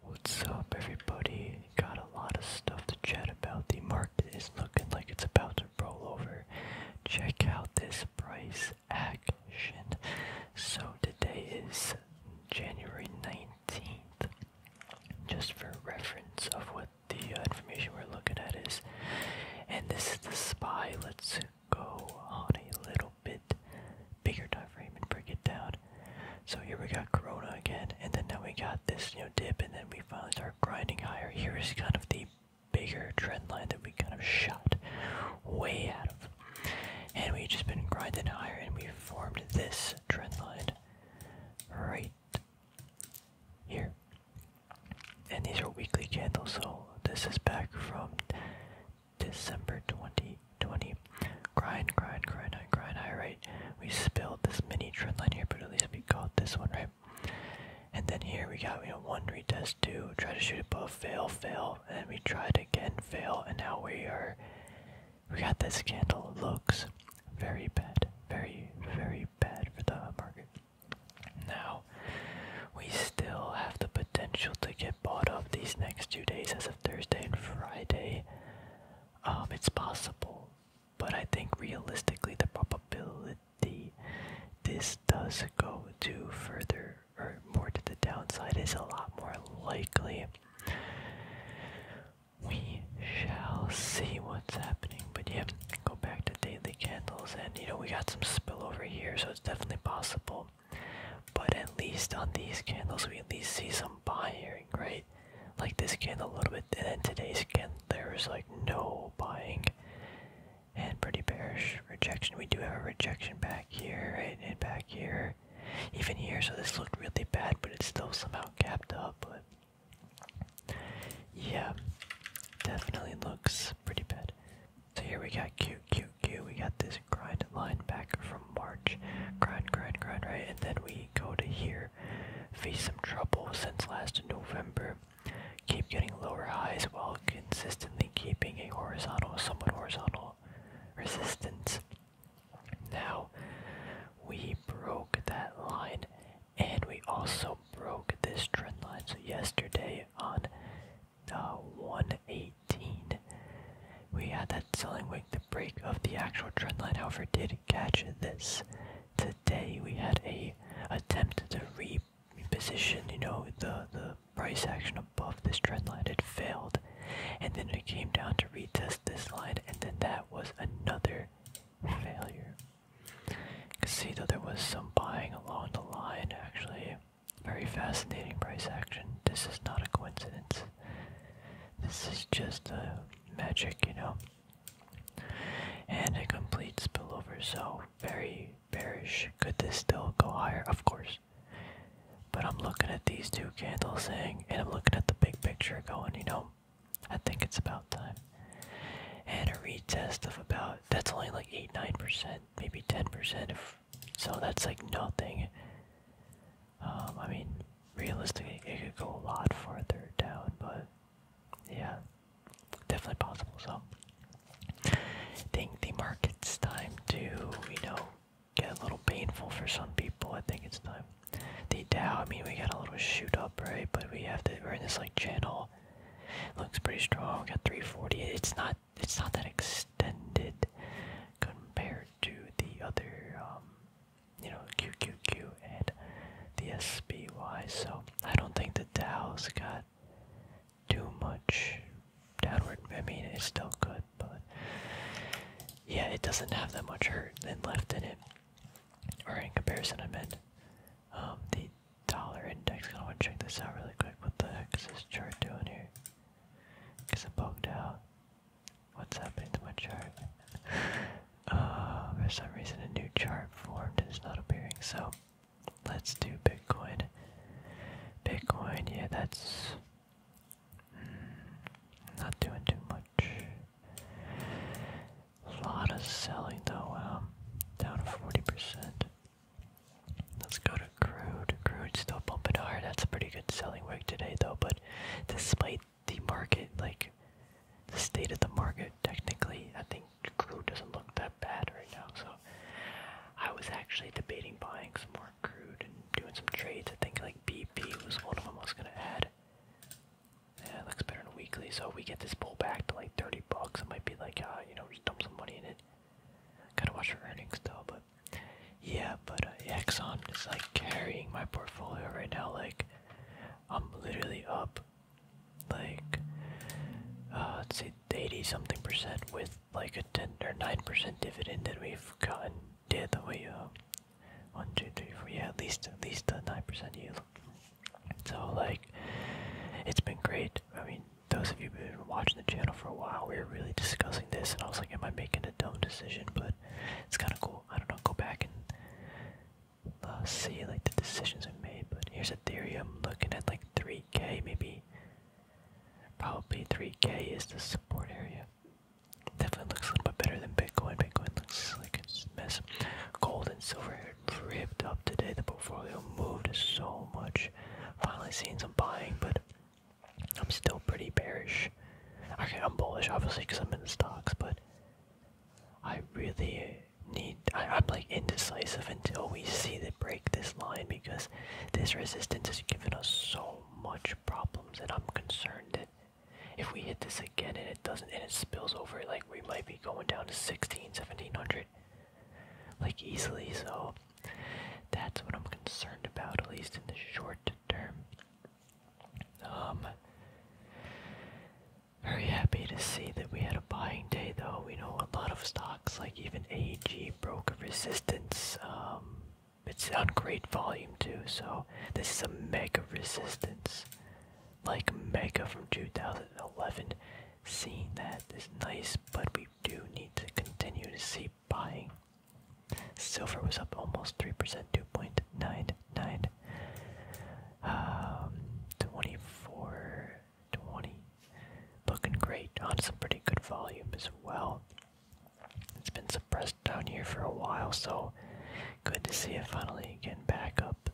What's up everybody? Got a lot of stuff to chat about. The market is looking like it's about to roll over. Check out this price action. So today is January 19th. Just for reference of what the information we're looking at is. And this is the SPY. Let's go on a little bit bigger time and break it down. So here we got Corona again, and then now we got this you know dip, and then we finally start grinding higher. Here is kind of the bigger trend line that we kind of shot way out of, and we've just been grinding higher, and we formed this trend line right here. And these are weekly candles, so this is back from December 20 20. Grind, grind, grind, high, grind, high, right? We spilled this mini trend line here, but at least we got this one, right? And then here we got, we know, one retest, two, try to shoot above, fail, fail, and we tried again, fail, and now we are, we got this candle, looks very bad, very, very bad for the market. Now, we still have the potential to get bought up these next two days as of Thursday and Friday. Um, it's possible, but I think realistically the probability this does go to further or more to the downside is a lot more likely. We shall see what's happening, but yeah, go back to daily candles, and you know, we got some spill over here, so it's definitely possible. But at least on these candles, we at least see some buying, right? like this skin a little bit, and then today's skin there's like no buying, and pretty bearish rejection. We do have a rejection back here, and back here, even here. So this looked really bad, but it's still somehow capped up. But yeah, definitely looks pretty bad. So here we got QQQ. We got this grind line back from March. Grind, grind, grind, right? And then we go to here. Face some trouble since last November. Keep getting lower highs while consistently keeping a horizontal, somewhat horizontal resistance. Now, we broke that line and we also broke this trend line. So, yesterday on the uh, 118, we had that selling wing, the break of the actual trend line, however, did catch this. Today we had a attempt to reposition, you know, the the price action above this trend line. It failed, and then it came down to retest this line, and then that was another failure. You can see though there was some buying along the line actually. Very fascinating price action. This is not a coincidence. This is just a magic, you know. And a complete spillover, so very bearish. Could this still go higher? Of course. But I'm looking at these two candles saying, and I'm looking at the big picture going, you know, I think it's about time. And a retest of about, that's only like 8 9%, maybe 10%. so that's like nothing. Um, I mean, realistically, it could go a lot farther down, but yeah, definitely possible. So, I think the market's time to, you know, get a little painful for some people. I think it's time. The Dow, I mean, we got a little shoot up, right? But we have to, we're in this like channel. Looks pretty strong. got 340. It's not, it's not that extended compared to the other um, you know, QQQ and the SPY. So I don't think the Dow's got too much downward. I mean, it's still good, but yeah, it doesn't have that much hurt and left in it. Or in comparison, I meant um, the dollar index. I want to check this out really quick. What the heck is this chart doing here? Because it bugged out. What's happening to my chart? Uh, for some reason a new chart formed and it's not appearing, so let's do Bitcoin. Bitcoin, yeah, that's hmm, not doing too much. A lot of selling though, wow. Um, down 40%. Let's go to crude. Crude still pumping hard. That's a pretty good selling week today though, but despite the market, like the state of the market, technically, I think crew doesn't look that bad right now. So I was actually debating buying some more crude and doing some trades. I think like BP was one of them I was gonna add. Yeah, it looks better in a weekly. So if we get this pull back to like 30 bucks, I might be like, uh, you know, just dump some money in it. Gotta watch our earnings though, but yeah, but uh, Exxon is like carrying my portfolio right now. Like, I'm literally up, like, uh, let's say 80 something percent with like a 10 or 9 percent dividend that we've gotten. Did that we, uh, one, two, three, four, yeah, at least, at least a 9 percent yield. So, like, it's been great. I mean, those of you who've been watching the channel for a while, we were really discussing this, and I was like, am I making a dumb decision? But it's kind of cool. I don't know. Go back and uh, see like the decisions I made. But here's Ethereum, looking at like 3K, maybe. Probably 3K is the support area. Definitely looks a little bit better than Bitcoin. Bitcoin looks like it's a mess. Gold and silver ripped up today. The portfolio moved so much. Finally seeing some buying, but I'm still pretty bearish. Okay, I'm bullish obviously because I'm in stocks, but I really need. I, am like indecisive until we see the break this line because this resistance has given us so much problems, and I'm concerned that if we hit this again and it doesn't and it spills over, like we might be going down to 16, 1700, like easily. So that's what I'm concerned about, at least in the short term. Um, very happy to see that we had a buying day, though. We know a lot of stocks, like even AG broke resistance. Um, it's on great volume too, so this is a mega resistance, like mega from 2011. Seeing that is nice, but we do need to continue to see buying. Silver was up almost 3%, 2.99. Um, 24, 20. Looking great on some pretty good volume as well. It's been suppressed down here for a while, so good to see it finally getting back up.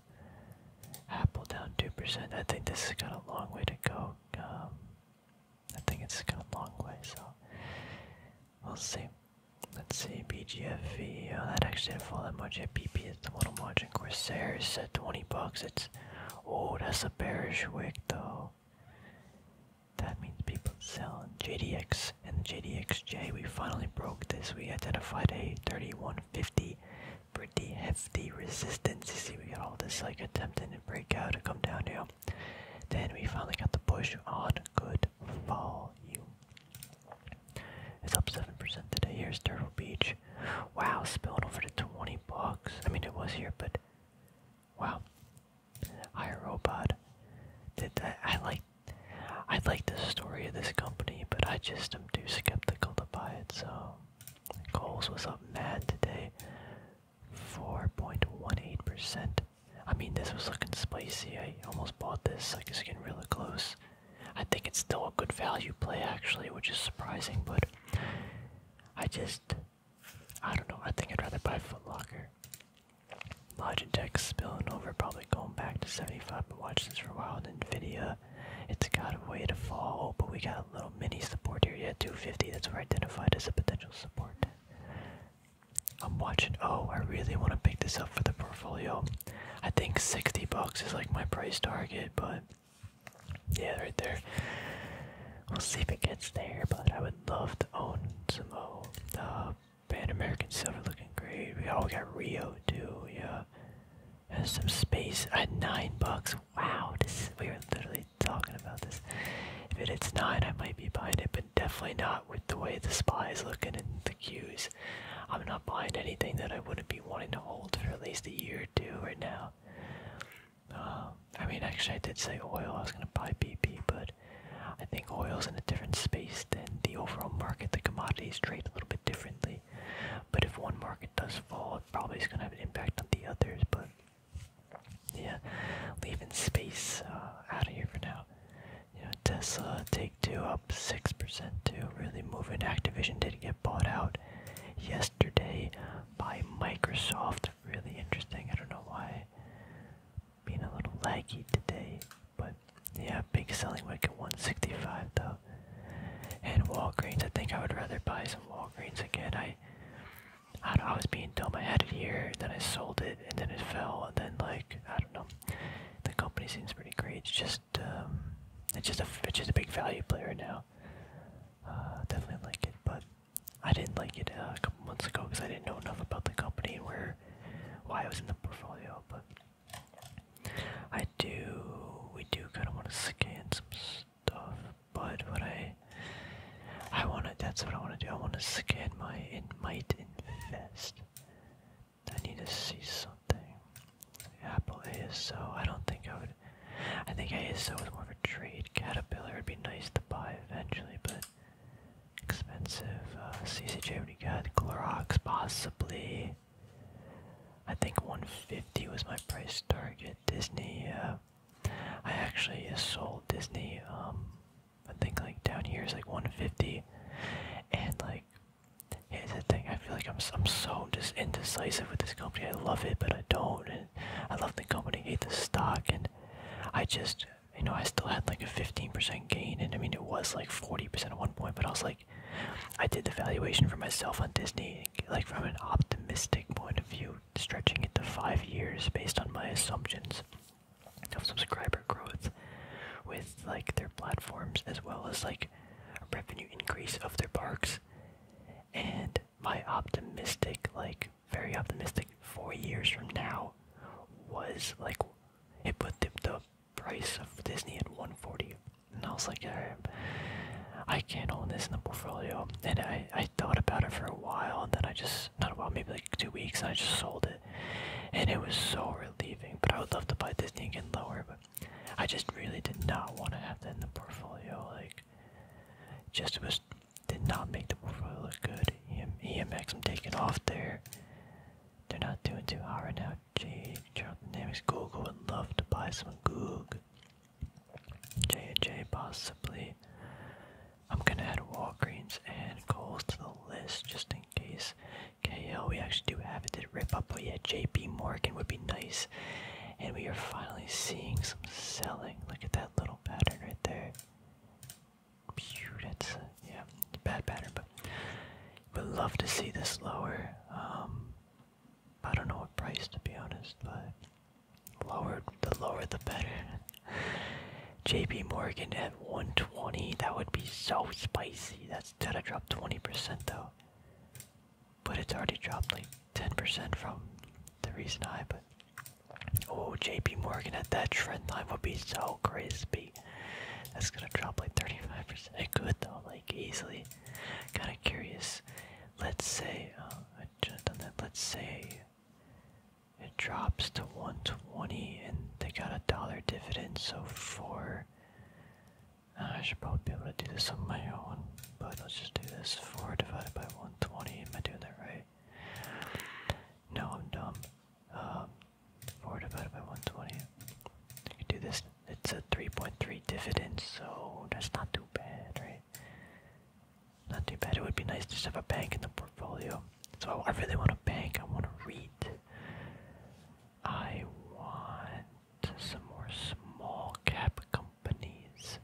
Apple down 2%. I think this has got a long way to go. Um, I think it's got a long way, so we'll see. Let's see, BGFV, oh, that actually didn't fall that much. Yeah, PP is the one I'm watching. Corsair is 20 bucks. It's, oh, that's a bearish wick though. That means people selling JDX and JDXJ. We finally broke this. We identified a 3150 pretty hefty resistance. You see, we got all this like attempting to break out to come down here. Then we finally got the push on good fall you. It's up 7% today. Here's Turtle Beach. Wow, spilling over to 20 bucks. I mean, it was here, but wow. iRobot. Did I like, I like the story of this company, but I just am too skeptical to buy it, so. Coles was up mad today. 4.18%. I mean, this was looking spicy. I almost bought this. I was getting really close. I think it's still a good value play, actually, which is surprising, but I just. I don't know. I think I'd rather buy Footlocker. Locker. Logitech spilling over, probably going back to 75, but watch this for a while. And NVIDIA, it's got a way to fall, but we got a little mini support here. Yeah, 250, that's where I identified as a potential support. I'm watching. Oh, I really want to pick this up for the portfolio. I think 60 bucks is like my price target, but yeah, right there. We'll see if it gets there, but I would love to own some of oh, the Pan American Silver looking great. We all got Rio too, yeah. And some space at nine bucks. Wow, this we were literally talking about this. If it's nine, I might be buying it, but definitely not with the way the supply is looking and the queues. I'm not buying anything that I wouldn't be wanting to hold for at least a year or two right now. Um, I mean, actually, I did say oil. I was gonna buy BP, but I think oil's in a different space than the overall market. The commodities trade a little bit differently. But if one market does fall, it probably is gonna have an impact on the others. But yeah, leaving space uh, out of here for now. Tesla, Take Two up 6% too, really moving. Activision did not get bought out yesterday by Microsoft. Really interesting. I don't know why being a little laggy today, but yeah, big selling week at 165 though. And Walgreens, I think I would rather buy some Walgreens again. I I was being dumb. I had it here, then I sold it, and then it fell, and then like I don't know the company seems pretty great. It's just um, it's just a it's just a big value player now. Uh, definitely like it, but I didn't like it uh, a couple months ago because I didn't know enough about the company and where why it was in the portfolio. But I do we do kind of want to scan some stuff, but what I I want to that's what I want to do. I want to scan my it might invest. I need to see something. Apple is so. I don't think I would. I think ASO is more of a trade. Caterpillar would be nice to buy eventually, but expensive. Uh, CCJ, be good. you possibly. I think 150 was my price target. Disney, I actually uh, sold Disney um, I think like down here is like 150, and like here's the thing. I feel like I'm I'm so just indecisive with this company. I love it, but I don't. And I love the company, hate the stock, and I just you know I still had like a 15% gain, and I mean it was like 40% at one point, but I was like I did the valuation for myself on Disney, like from an optimistic point of view, stretching it to five years based on my assumptions of subscriber growth with like their platforms as well as like revenue increase of their parks and my optimistic like very optimistic four years from now was like it put the, the price of disney at 140 and i was like I, can't own this in the portfolio and i i thought about it for a while and then i just not a while maybe like two weeks and i just sold it and it was so relieving. But I would love to buy Disney again lower, but I just really did not want to have that in the portfolio. Like, just was did not make the portfolio look good. EM, EMX, I'm taking off there. They're not doing too hot right now. J. Charles Dynamics, Google would love to buy some Goog. J and J possibly. I'm gonna add Walgreens and Kohl's to the list just in in case KO. We actually do have it. Did rip up, but yeah, JP Morgan would be nice. And we are finally seeing some selling. Look at that little pattern right there. Pew, that's yeah, bad pattern, but would love to see this lower. Um, I don't know what price to be honest, but lower the lower the better. JP Morgan at 120, that would be so spicy. That's that's that I dropped 20% though. But it's already dropped like 10% from the recent high, but oh JP Morgan at that trend line would be so crispy. That's gonna drop like 35%. It could though, like easily. Kinda curious. Let's say uh, Let's say it drops to 120 and they got a dollar dividend, so for I should probably be able to do this on my own, but let's just do this. 4 divided by 120, am I doing that right? No, I'm dumb. Um, 4 divided by 120. I can do this. It's a 3.3 dividend, so that's not too bad, right? Not too bad. It would be nice to just have a bank in the portfolio. So I really want a bank. I want to read. I want some more small cap companies.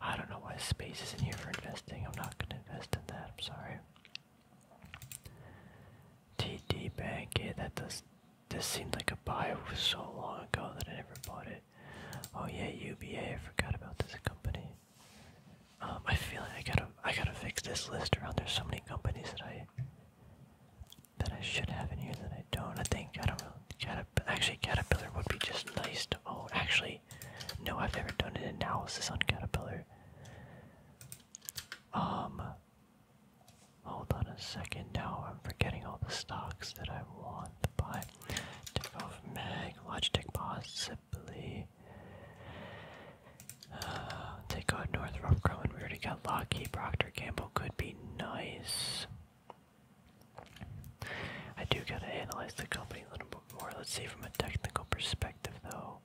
I don't know why space is in here for investing. I'm not going to invest in that. I'm sorry. TD Bank. Yeah, that does. This seemed like a buy so long ago that I never bought it. Oh yeah, UBA. I forgot about this company. Um, I feel like I gotta, I gotta fix this list around. There's so many companies that I that I should have in here that I don't. I think I don't know. actually, caterpillar would be just nice. To oh, actually, no, I've never done an analysis on caterpillar. Um, hold on a second. Now I'm forgetting all the stocks that I want to buy. Tick off Meg, Logitech, possibly. Uh, take out Northrop Grumman. We already got Lockheed. Proctor, Campbell could be nice. I do gotta analyze the company a little bit more. Let's see from a technical perspective, though.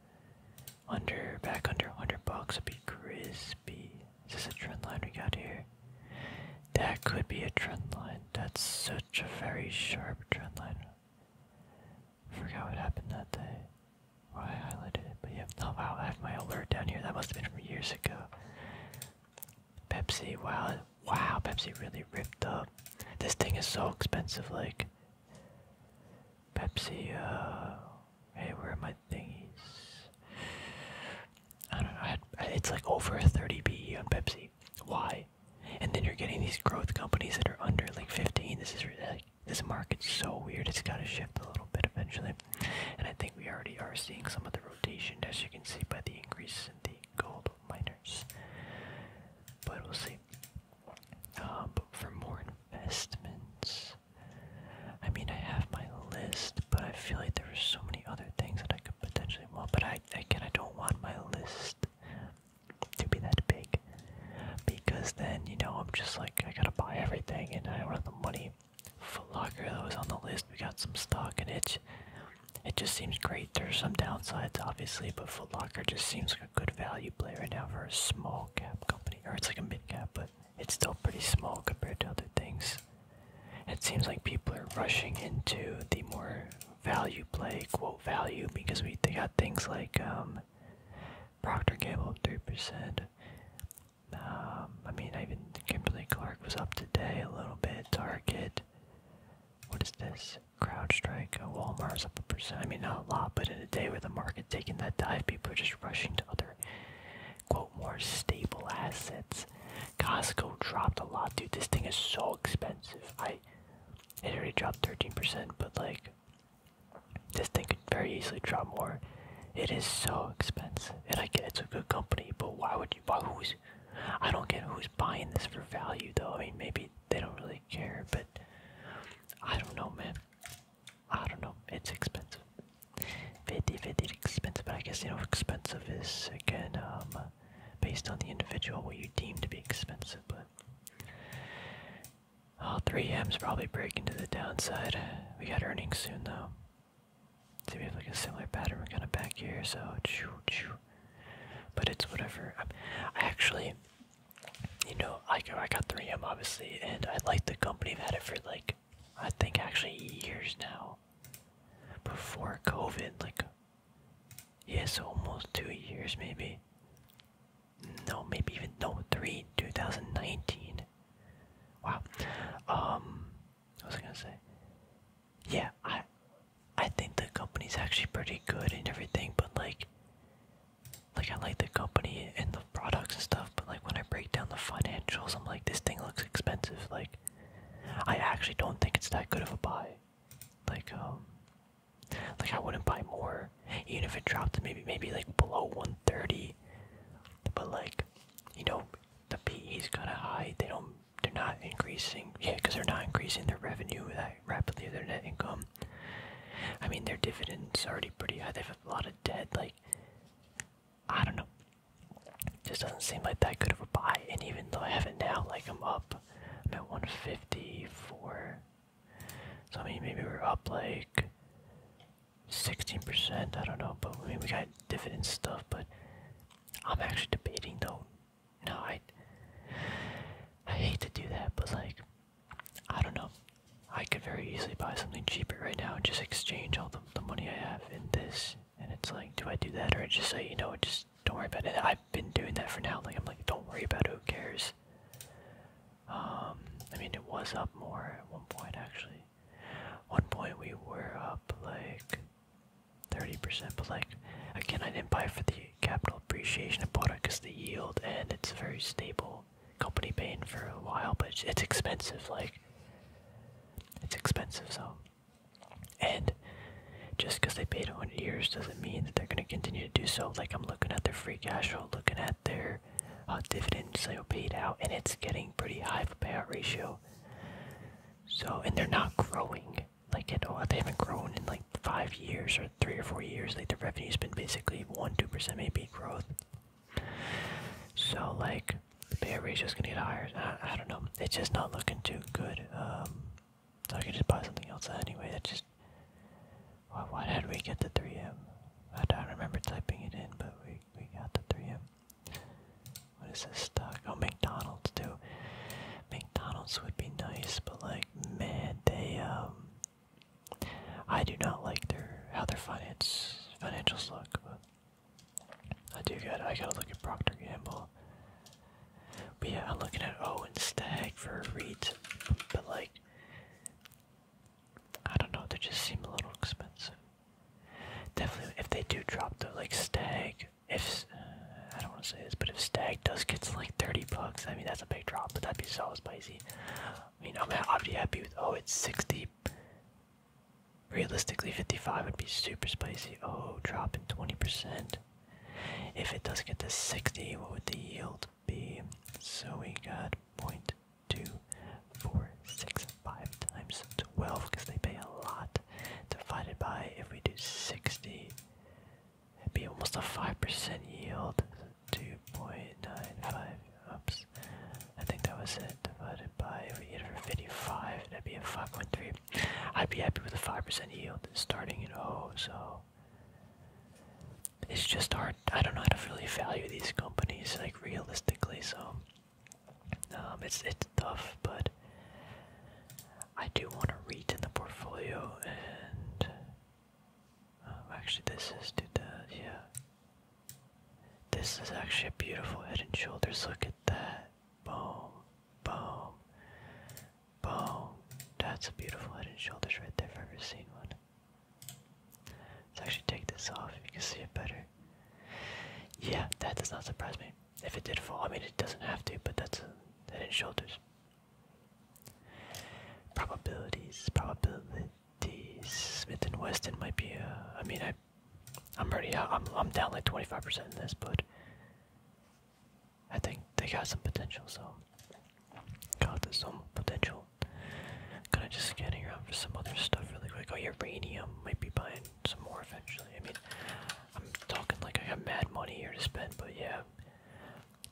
Under back under 100 bucks would be crispy. Is this a trend line we got here? That could be a trend line. That's such a very sharp trend line. Forgot what happened that day. Or I highlighted it, but yeah. no. Oh, wow, I have my alert down here. That must have been from years ago. Pepsi, wow, wow, Pepsi really ripped up. This thing is so expensive, like. Pepsi, uh. Hey, where are my thingies? I don't know, it's like over 30 BE on Pepsi. Why? And then you're getting these growth companies that are under like 15. This is really, this market's so weird. It's got to shift a little bit eventually, and I think we already are seeing some of the rotation, as you can see by the increase in the gold miners. But we'll see. Um, but for investments, I mean, I have my list, but I feel like there are so many other things that I could potentially want. But I again, I don't want my list to be that big because then you know I'm just like I gotta buy everything and I do the money. Foot Locker that was on the list. We got some stock in it. It just seems great. There's some downsides obviously, but Foot Locker just seems like a good value play right now for a small cap company, or it's like a mid cap, but it's still pretty small compared to other things. It seems like people are rushing into the more value play, quote value, because we got things like um, Procter Gamble, 3%. Um, I mean, even Kimberly-Clark was up today a little bit. Target. What is this? Crowd Strike. Uh, Walmart's up a percent. I mean, not a lot, but in a day with the market taking that dive, people are just rushing to other, quote, more stable assets. Costco dropped a lot, dude. This thing is so expensive. I, it already dropped 13%, but like, this thing could very easily drop more. It is so expensive, and I get it's a good company, but why would you buy who's? I don't get who's buying this for value though. I mean, maybe they don't really care, but I don't know, man. I don't know. It's expensive. Very, expensive. But I guess you know, expensive is again um, based on the individual what you deem to be expensive. But all 3M's probably breaking to the downside. We got earnings soon though. See, we have like a similar pattern. We're kind of back here, so choo choo. But it's whatever. i actually, you know, I I got 3M obviously, and I like the company. I've had it for like, I think actually years now. Before COVID, like, yes, almost two years maybe no, maybe even no three, 2019. Wow. Um, what was I gonna say? Yeah, I, I think the company's actually pretty good and everything, but like, like I like the company and the products and stuff, but like when I break down the financials, I'm like, this thing looks expensive. Like, I actually don't think it's that good of a buy. Like, um, like I wouldn't buy more even if it dropped to maybe maybe like below 130. But like, you know, the PE's kind of high. They don't. They're not increasing. Yeah, because they're not increasing their revenue that rapidly. Their net income. I mean, their dividends already pretty high. They have a lot of debt. Like, I don't know. just doesn't seem like that good of a buy. And even though I have it now, like I'm up. I'm at 154. So I mean, maybe we're up like 16%, I don't know, but I mean, we got dividend stuff, but I'm actually debating though. No, I, I hate to do that, but like, I don't know. I could very easily buy something cheaper right now and just exchange all the, the money I have in this. And it's like, do I do that or just say, you know, just don't worry about it. I've been doing that for now. Like, I'm like, don't worry about it, who cares? Um, I mean, it was up more at one point, actually. One point we were up like 30%, but like, again, I didn't buy for the capital appreciation. of bought it because the yield, and it's a very stable company paying for a while, but it's, expensive. Like, it's expensive, so. And just because they paid 100 years doesn't mean that they're going to continue to do so. Like, I'm looking at their free cash flow, looking at their uh, dividend sale paid out, and it's getting pretty high of a payout ratio. So, and they're not growing like at all. They haven't grown in like five years or three or four years. Like the revenue's been basically one, two percent maybe growth. So, like the payout is gonna get higher. I, don't know. It's just not looking too good. Um, so I can just buy something else anyway. That just why, why did we get the 3M? I don't remember typing it in, but we we got the three of What is this stock? Oh, McDonald's too. McDonald's would be nice, but like, man, they um, I do not like their how their finance financials look, but I do got I gotta look at Procter Gamble. But yeah, I'm looking at Owen Stag for REIT, but like, I don't know, they just seem a little expensive. Definitely, if they do drop the like stag, if uh, I don't want to say this, but if stag does get to like 30 bucks, I mean that's a big drop, but that'd be so spicy. I mean, I'm i happy with oh, it's 60. Realistically, 55 would be super spicy. Oh, dropping 20%. If it does get to 60, what would the yield be? So we got point two, four, six, five times 12 because they pay a lot divided by if we do 60 it'd be almost a 5% yield 2.95 oops I think that was it divided by if we get 55 that'd be a 5.3 I'd be happy with a 5% yield starting at O so it's just hard I don't know how to really value these companies realistically. So um, it's it's tough, but I do want to read in the portfolio and um, actually this is to the yeah. This is actually a beautiful head and shoulders. Look at that. Boom, boom, boom. That's a beautiful head and shoulders right there. I've ever seen one. Let's actually take this off if you can see it better. Yeah, that does not surprise me. If it did fall, I mean it doesn't have to, but that's that in shoulders. Probabilities, probabilities. Smith and Weston might be. Uh, I mean, I, I'm already I'm I'm down like 25% in this, but I think they got some potential. So, got some potential. I'm gonna just scanning around for some other stuff really quick. Oh, uranium might be buying some more eventually. I mean, I'm talking like I got mad money here to spend, but yeah.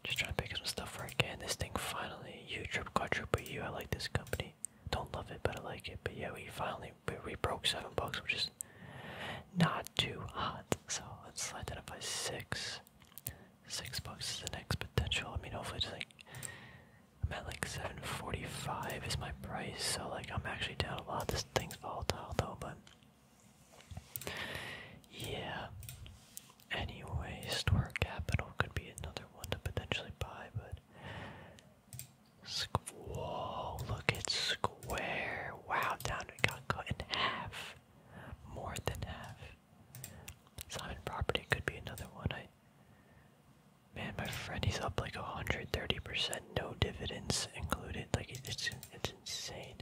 Just trying to pick up some stuff for again. This thing finally, You trip You, U. I like this company. Don't love it, but I like it. But yeah, we finally we, broke seven bucks, which is not too hot. So let's slide that up by six. Six bucks is the next potential. I mean, hopefully, it's like I'm at like 745 is my price, so like I'm actually down a lot. This thing's volatile though, but yeah. Anyway, store capital could be another one to potentially buy, but whoa! Look at Square. Wow, down it got cut in half, more than half. Simon Property could be another one. I Man, my friend, he's up like 130%, no dividends included. Like, it's, it's insane.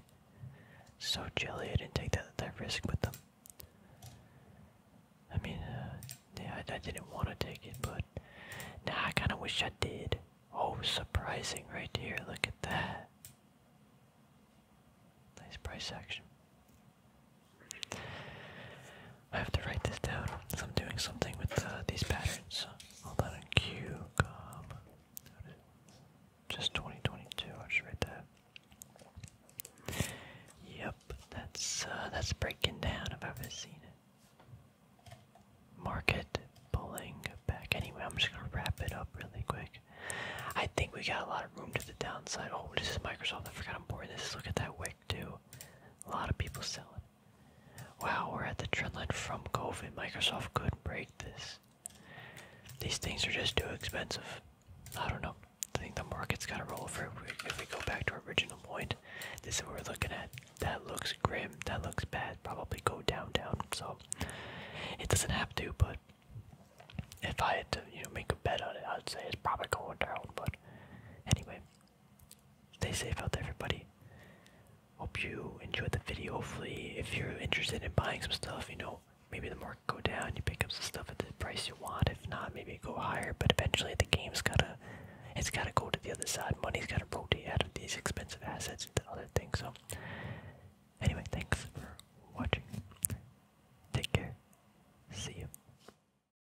So jelly, I didn't take that, that risk with them. I mean, uh, yeah, I, didn't want to take it, but now I kind of wish I did. Oh, surprising right here. Look at that. Nice price action. I have to write this down. So I'm doing something with uh, these patterns. Hold on, QCOM. Just 2022. i should write that. Yep, that's uh, that's breaking down. I've ever seen it. Market pulling back. Anyway, I'm just gonna wrap it up really quick. I think we got a lot of room to the downside. Oh, this is Microsoft. I forgot I'm boring this. Look at that wick. Do A lot of people selling. Wow, we're at the trendline from COVID. Microsoft could break this. These things are just too expensive. I don't know. I think the market's got to roll for If we go back to our original point, this is what we're looking at. That looks grim. That looks bad. Probably go down, down. So it doesn't have to, but if I had to, you know, make a bet on it, I'd say it's probably going down. But anyway, stay safe out there, everybody. Hope you enjoyed the video. Hopefully, if you're interested in buying some stuff, you know, maybe the market go down, you pick up some stuff at the price you want. If not, maybe go higher. But eventually, the game's gotta, it's gotta go to the other side. Money's gotta rotate out of these expensive assets into other things. So, anyway, thanks for watching. Take care. See you.